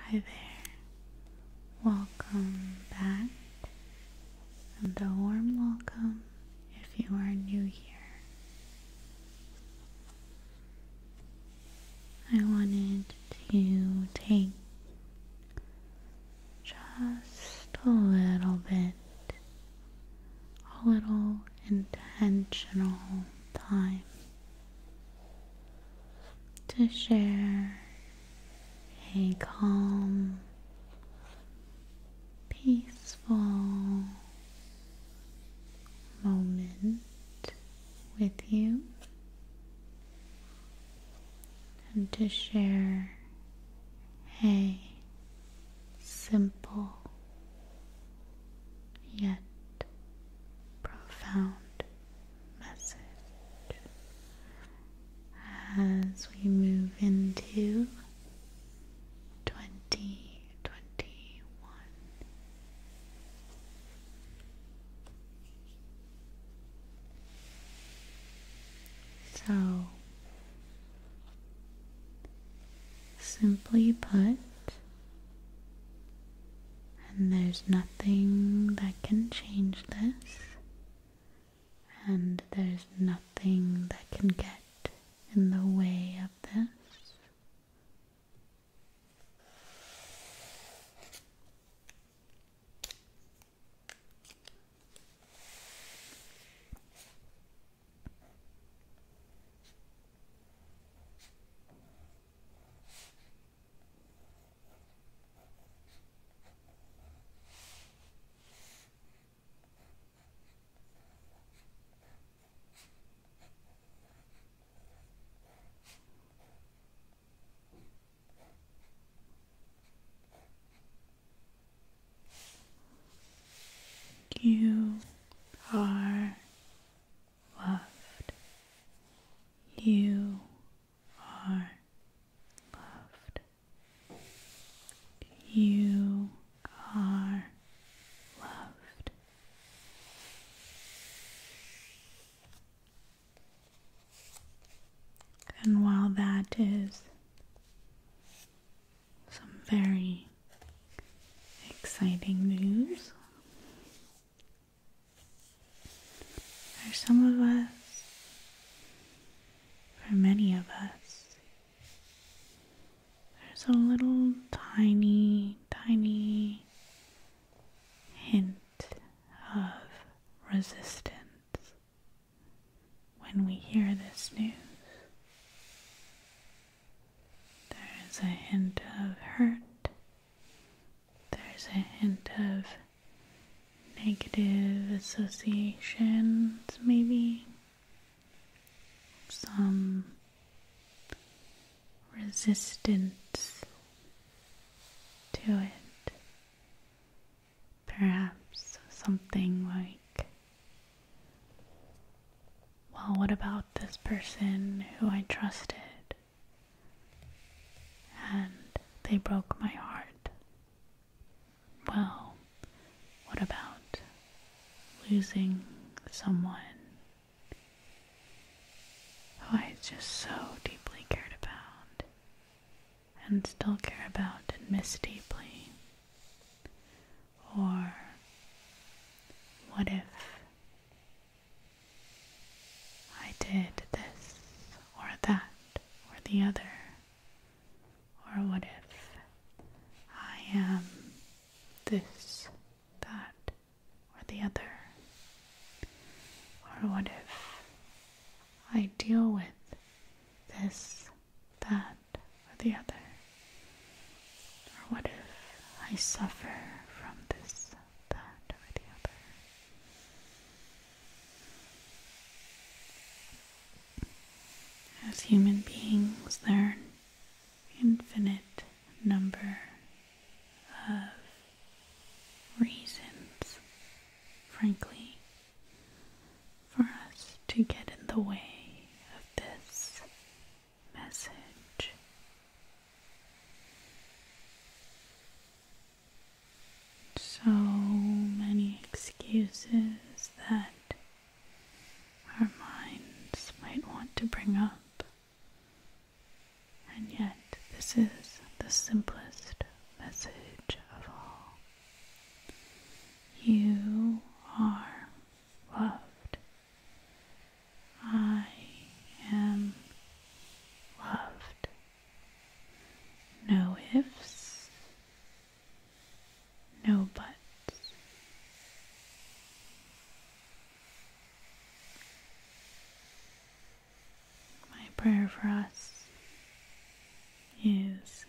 Hi there, welcome back, and a warm welcome if you are new here. I wanted to take just a little bit, a little intentional time to share a calm, peaceful moment with you and to share a simple yet profound message as we move into 2021. So, simply put, and there's nothing that can change this, and there's nothing that can get in the way of this. You are loved. You are loved. You are loved. And while that is some very exciting news, for some of us, for many of us, there's a little tiny, tiny hint of resistance when we hear this news. There's a hint of hurt there's a hint of negative associations, maybe some resistance to it. Perhaps something like, well, what about this person who I trusted? and they broke my heart. Well, what about losing someone who I just so deeply cared about and still care about and miss deeply? Or what if I did this or that or the other. Or what if I am this, that, or the other? Or what if I deal with this, that, or the other? Or what if I suffer from this, as human beings, there are infinite number of reasons, frankly, for us to get in the way of this message. So many excuses that our minds might want to bring up, and yet this is the simplest message of all. You are loved. I am loved. No ifs, no buts. My prayer for us is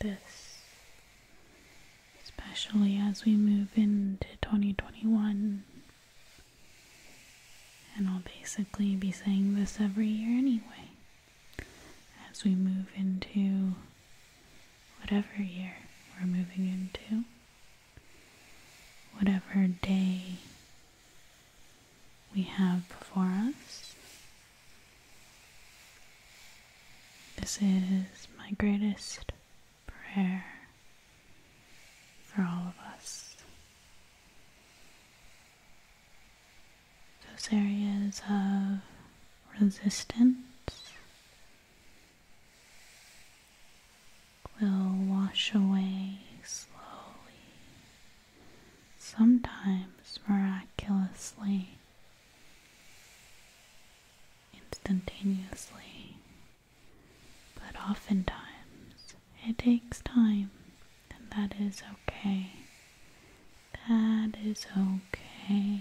this, especially as we move into 2021 and I'll basically be saying this every year anyway as we move into whatever year we're moving into, whatever day we have before us. This is my greatest prayer for all of us. Those areas of resistance will wash away slowly, sometimes miraculously, instantaneously. But oftentimes it takes time, and that is okay. That is okay.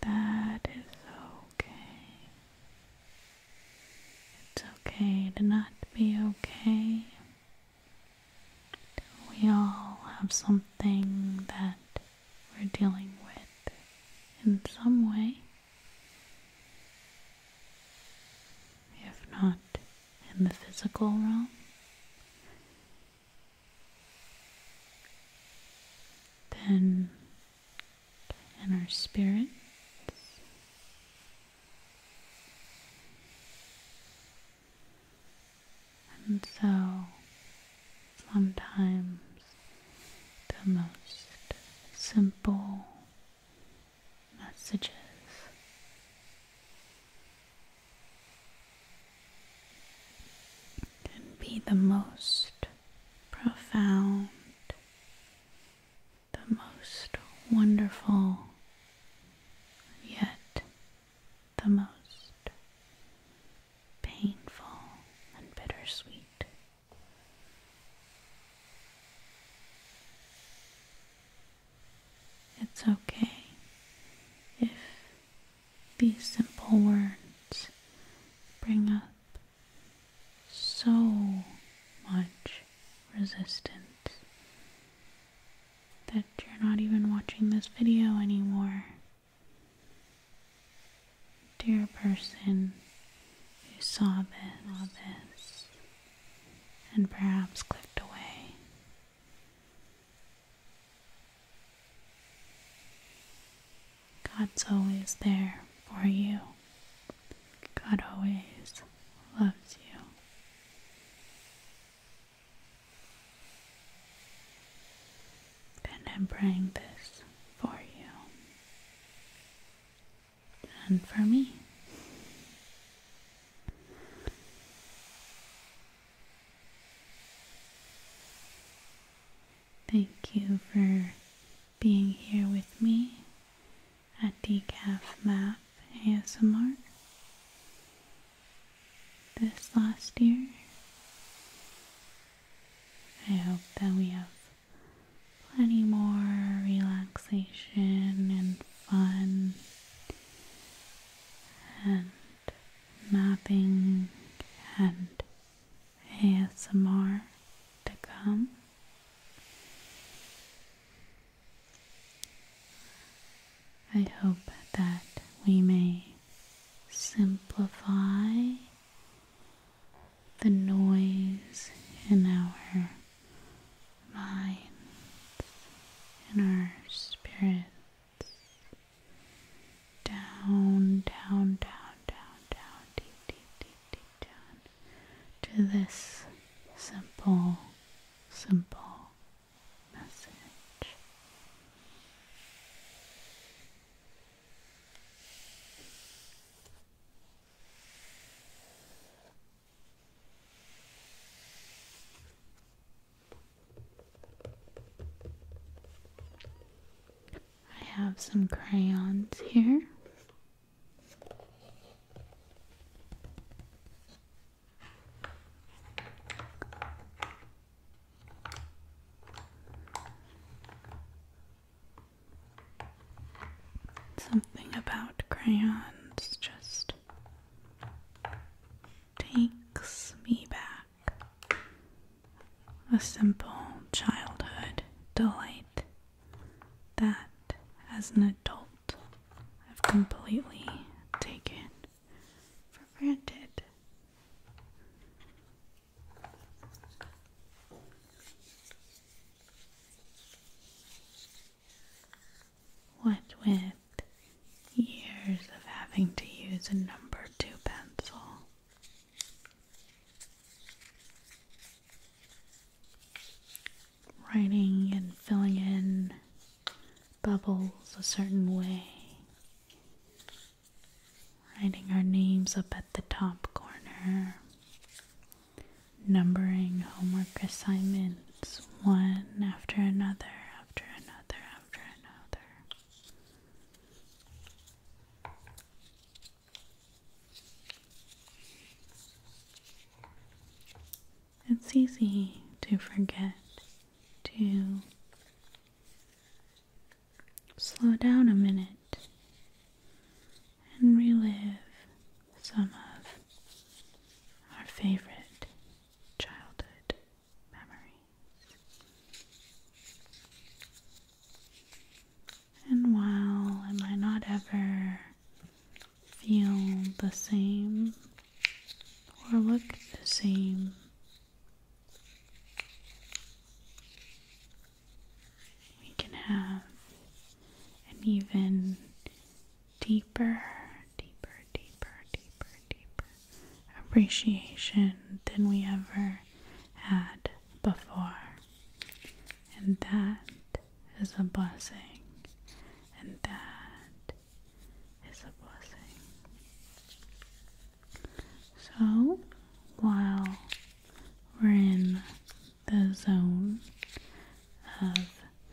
That is okay. It's okay to not be okay. We all have something that we're dealing with in some way. If not in the physical realm, then in our spirits. And so, sometimes the most simple messages. Can be the most profound, the most wonderful, yet the most painful and bittersweet. It's okay if these simple words bring up so much resistance that you're not even watching this video anymore. Dear person who saw this and perhaps clicked away. God's always there for you. God always loves you. And I'm bring this for you and for me. Thank you for being here with me at Decaf Math ASMR this last year. I hope that we have plenty more relaxation and fun and mapping and ASMR to come. I hope that we may simplify the noise in our minds, in our spirits. Down, down, down, down, down, deep, deep, deep, deep down to this simple, simple message. I have some crayons here. Something about crayons just takes me back. A simple childhood delight that, as an adult, I've completely taken for granted. What with years of having to use a number two pencil. Writing and filling in bubbles a certain way Writing our names up at the top corner. Numbering homework assignments one after another, after another, after another. It's easy to forget to slow down a minute and relive some of our favorite childhood memories. And while I might not ever feel the same or look the same we can have an even deeper, deeper, deeper, deeper, deeper appreciation than we ever had before. And that is a blessing. And that is a blessing. So while we're in the zone of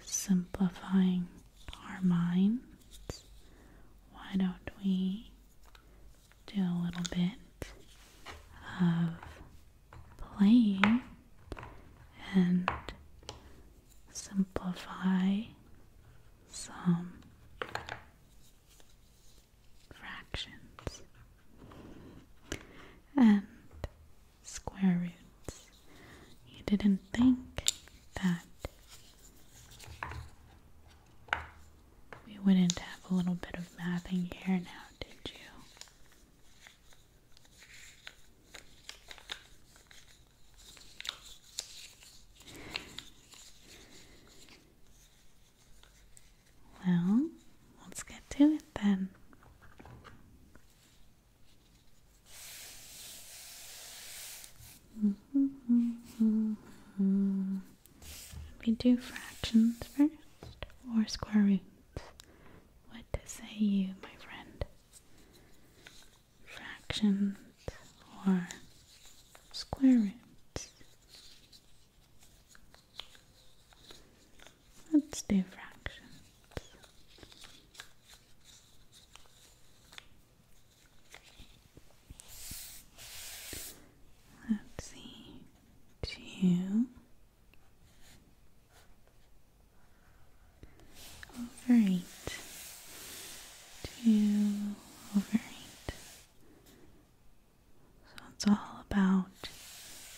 simplifying our minds, why don't we do a little bit of playing and simplify some? fractions and square roots. You didn't think that we wouldn't have a little bit of math in here now, did you? Well, let's get to it then. We do fractions first or square roots. What to say you, my friend? Fractions or square roots? Let's do fractions. Let's see, two over eight, two over eight. So it's all about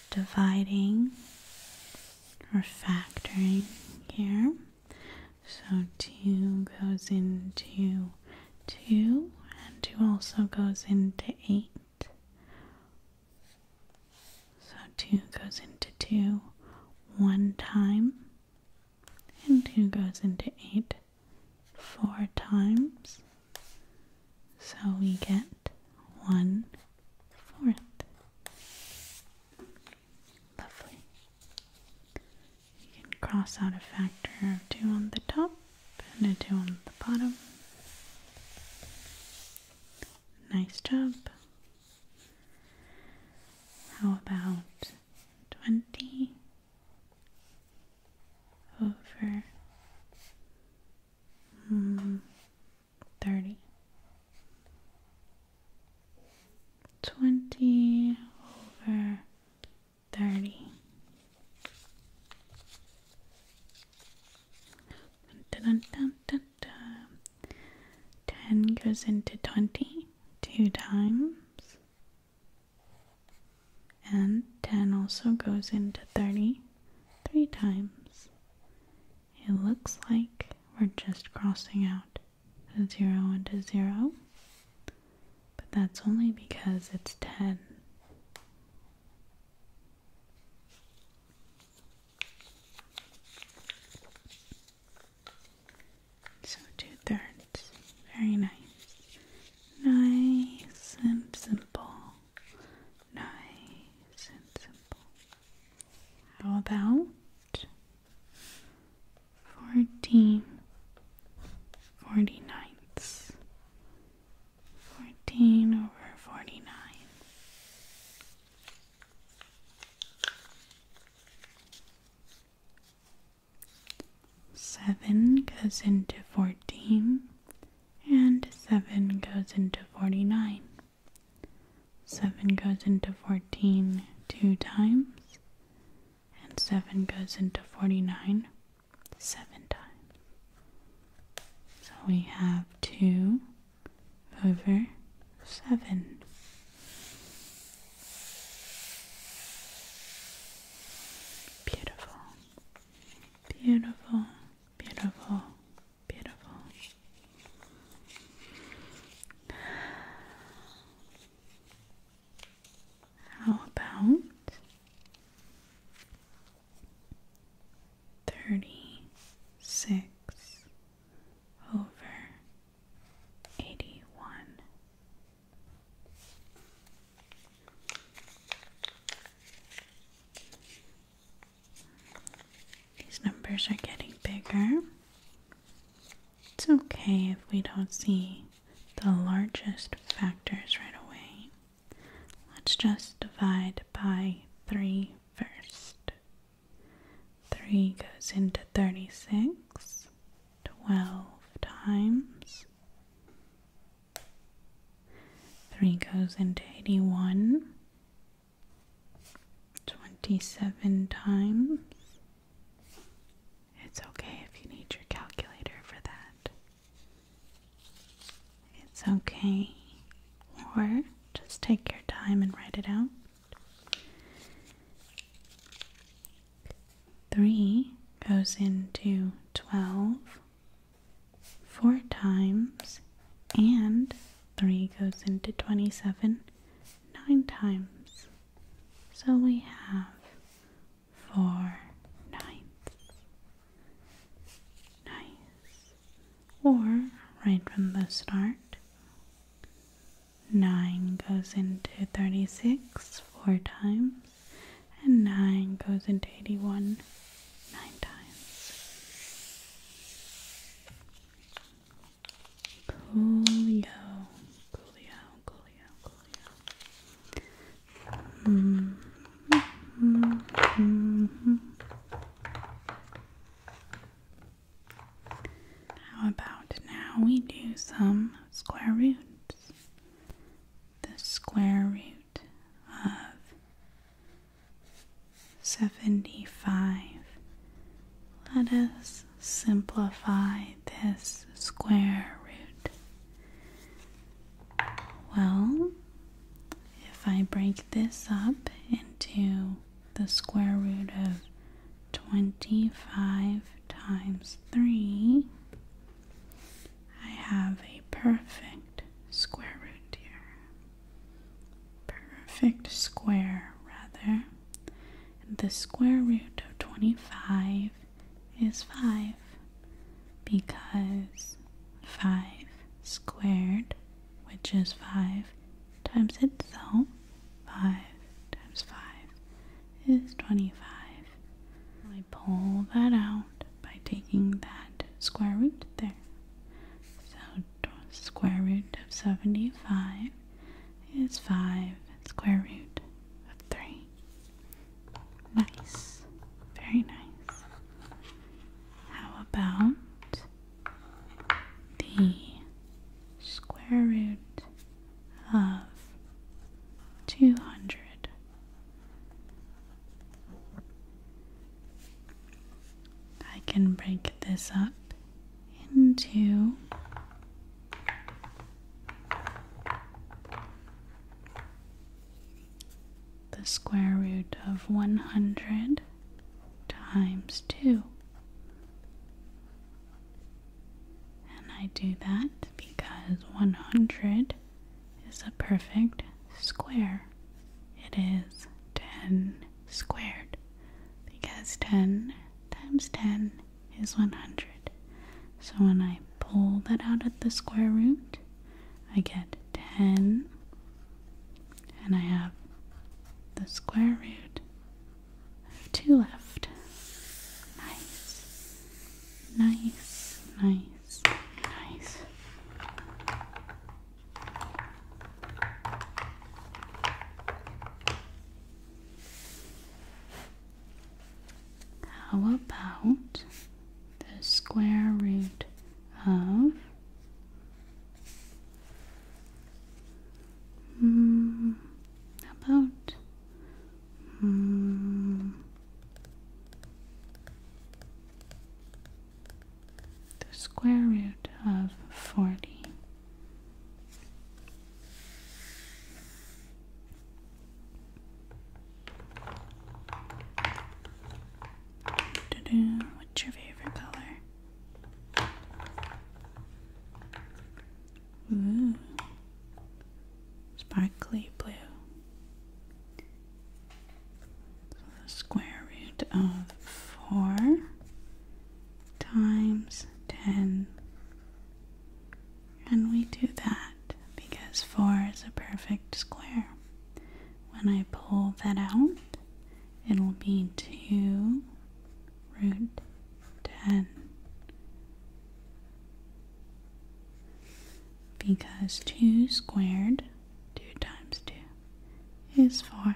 dividing or factoring here. So 2 goes into 2, and 2 also goes into 8. So 2 goes into 2 one time, and 2 goes into 8 four times, so we get one fourth. Lovely. You can cross out a factor of two on the top and a two on the bottom. Nice job. How about twenty over mm, 30 20 over 30 10 goes into 20 two times and 10 also goes into thirty three times. It looks like we're just crossing out a 0 into 0, but that's only because it's 10. So two thirds. Very nice. Nice and simple. Nice and simple. How about fourteen forty ninths? Fourteen over forty nine. 7 goes into 14 and 7 goes into 49. 7 goes into 14 two times and 7 goes into 49 seven times. So we have 2 over 7. Beautiful. Beautiful, beautiful, beautiful. How about thirty six over eighty one? These numbers are getting bigger. It's okay if we don't see the largest factors right away. Let's just divide by 3 first. 3 goes into 36 12 times 3 goes into 81 27 times. It's okay if you need your calculator for that. It's okay. Or just take your time and write it out. 3 goes into 12 four times, and 3 goes into 27 nine times. So we have 4 ninths. Nice. Or, right from the start, 9 goes into 36 four times and 9 goes into 81 9 times. Coolio, coolio, coolio, coolio. Mm -hmm, mm -hmm. How about now we do some square roots? the square root of 75. Let us simplify this square root. Well, if I break this up into the square root of 25 times 3, I have a perfect square root here. Perfect square, rather. the square root of 25 is 5 because 5 squared, which is 5 times itself, 5 times 5 is 25. I pull that out by taking that square root there. So square root of 75 is 5 square root of 3. Nice. Very nice. How about the square root of 200. I can break this up into the square root of 100 times 2. And I do that because 100 is a perfect square. It is 10 squared because 10 times 10 is 100. So when I pull that out at the square root, I get 10 and I have the square root of 2 left. Nice. Nice, nice, nice. How about the square root of mm, about Hmm. The square root of 40. What's your favorite color? Ooh. Mm. Sparkly blue. So the square root of 4 times 10. And we do that because 4 is a perfect square. When I pull that out, it'll be 2 root 10 because 2 squared, 2 times 2, is 4.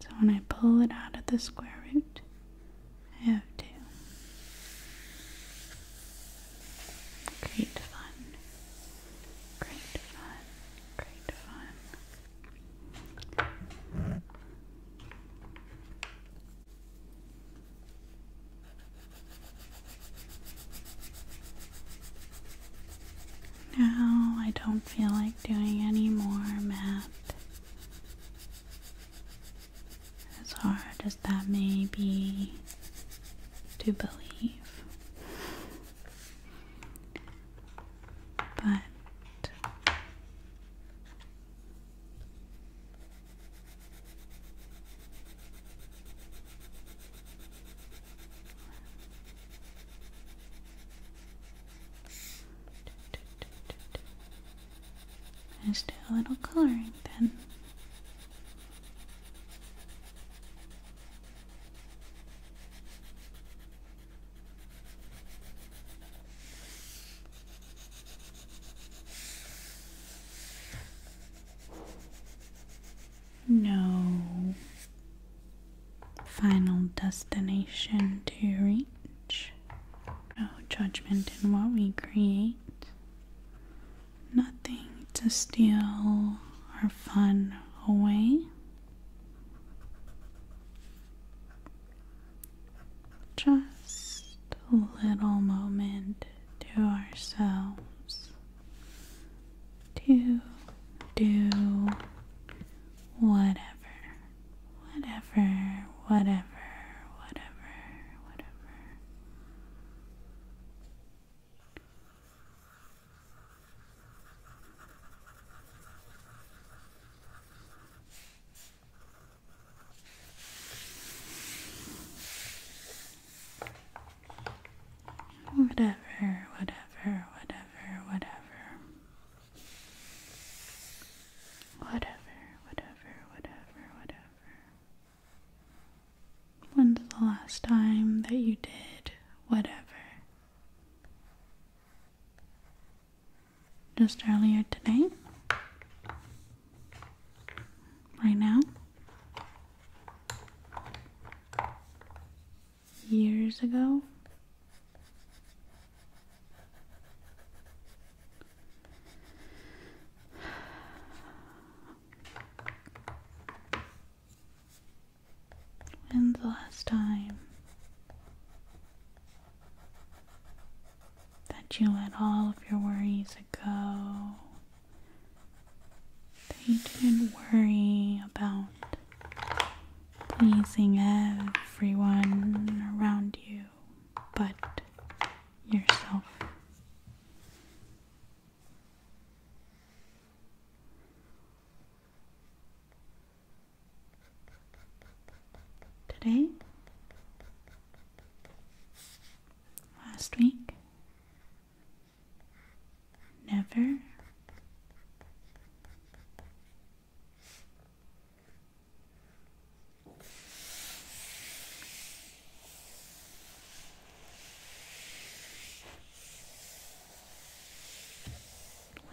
So when I pull it out of the square root, I have 2. Great fun. Great fun. Great fun. Now I don't feel like doing any more math. As hard as that may be to believe. But Let's do a little coloring then. No final destination to reach, no judgment in what we create, nothing to steal our fun away just a little moment to ourselves to do whatever, whatever, whatever, whatever, whatever. Whatever, whatever, whatever, whatever. Whatever, whatever, whatever, whatever. When's the last time that you did whatever? Just earlier today? right now. Years ago. When's the last time that you let all of your worries go. That you didn't worry about pleasing everyone around you but yourself. Today, Last week? Never?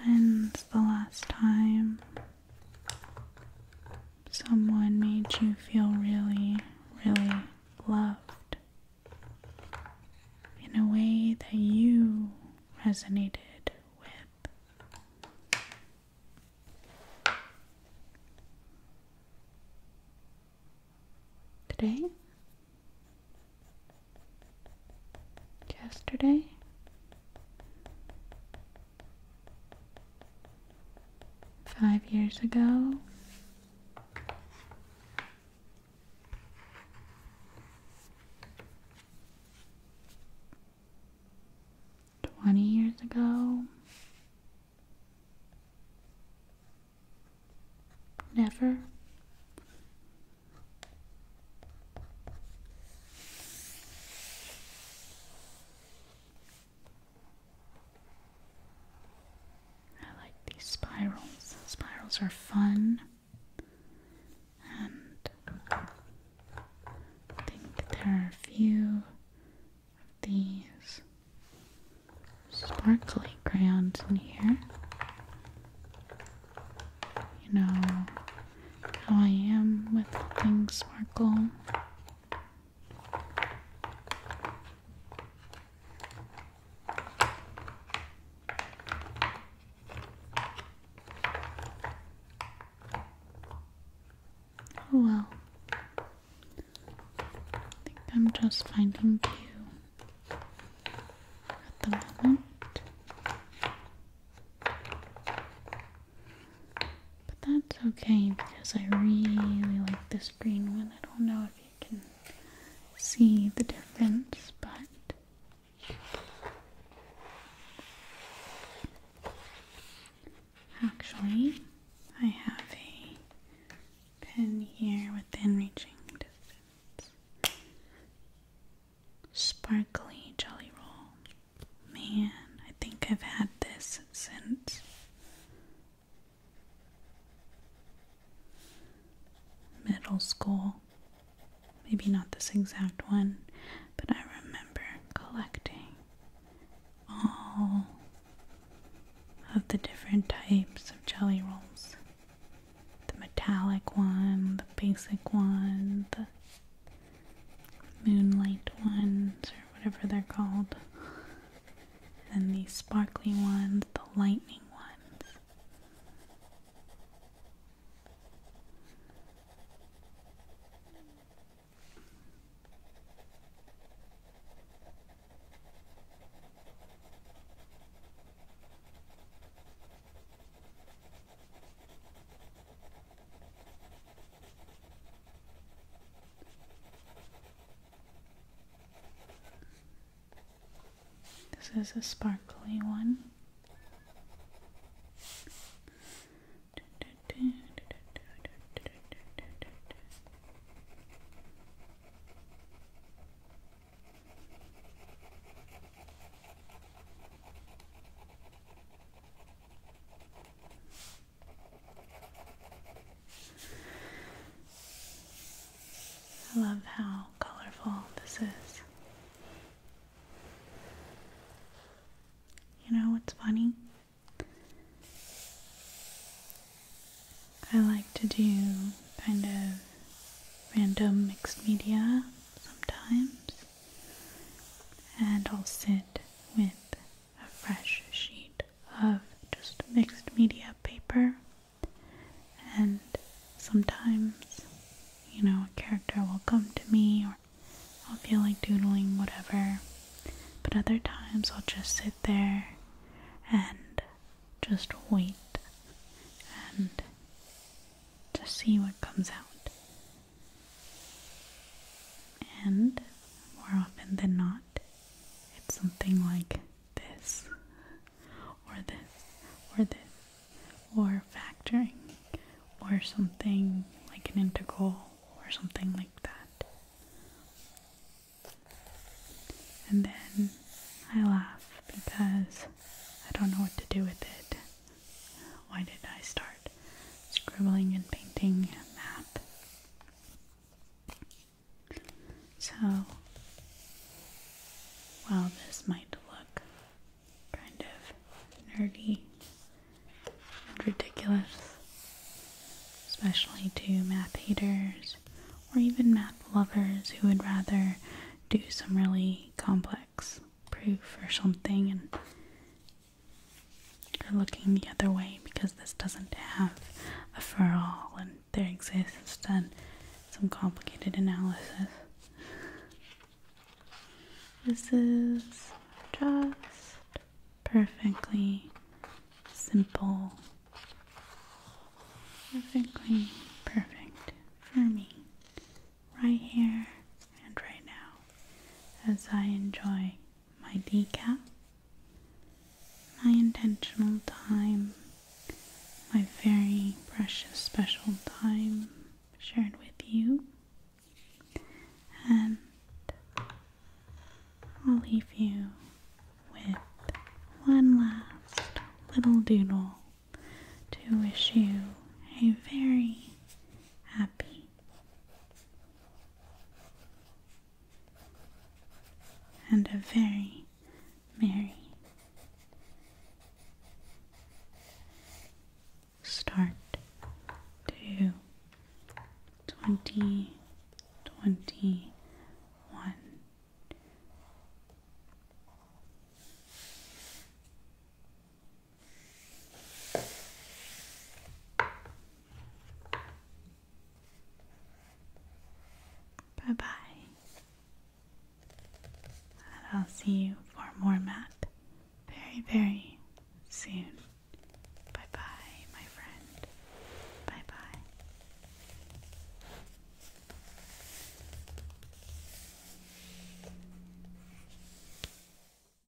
When's the last time someone made you feel really, really loved in a way that you resonated with. Today? Yesterday? five years ago. Twenty years ago, never. I like these spirals. Spirals are fun, and I think there are a few of these sparkly crayons in here. You know how I am with things sparkle. Oh well. I think I'm just finding you at the moment. But that's okay because I really like this green one. I don't know if you can see the difference, but actually, I have a pen here within reaching distance. Sparkly Jelly Roll. Man, I think I've had this since middle school. Maybe not this exact one, but I remember collecting all of the different types of jelly rolls the metallic one, the basic one, the moonlight ones or whatever they're called. And these sparkly ones, the lightning ones. This is a sparkly one. I love how colorful this is. You know what's funny? I like to do kind of random mixed media sometimes, and I'll sit with a fresh sheet of just mixed media paper, and sometimes, you know, a character will come to me or I'll feel like doodling whatever, but other times I'll just sit there and just wait and to see what comes out. And more often than not, it's something like this, or this, or this, or factoring, or something like an integral, or something like that. And then I laugh because I don't know what to do with it. Why did I start scribbling and painting a map. So, while this might look kind of nerdy and ridiculous, especially to math haters or even math lovers who would rather do some really complex proof or something and you're looking the other way because this doesn't have a for all and there exists instead some complicated analysis. This is just perfectly simple, perfectly perfect for me, right here and right now, as I enjoy my decaf, my intentional time, my very precious special time shared with you. And I'll leave you with one last little doodle to wish you a very happy and a very merry start to 2021. Bye bye. And I'll see you for more math very, very soon. Bye bye, my friend. Bye bye.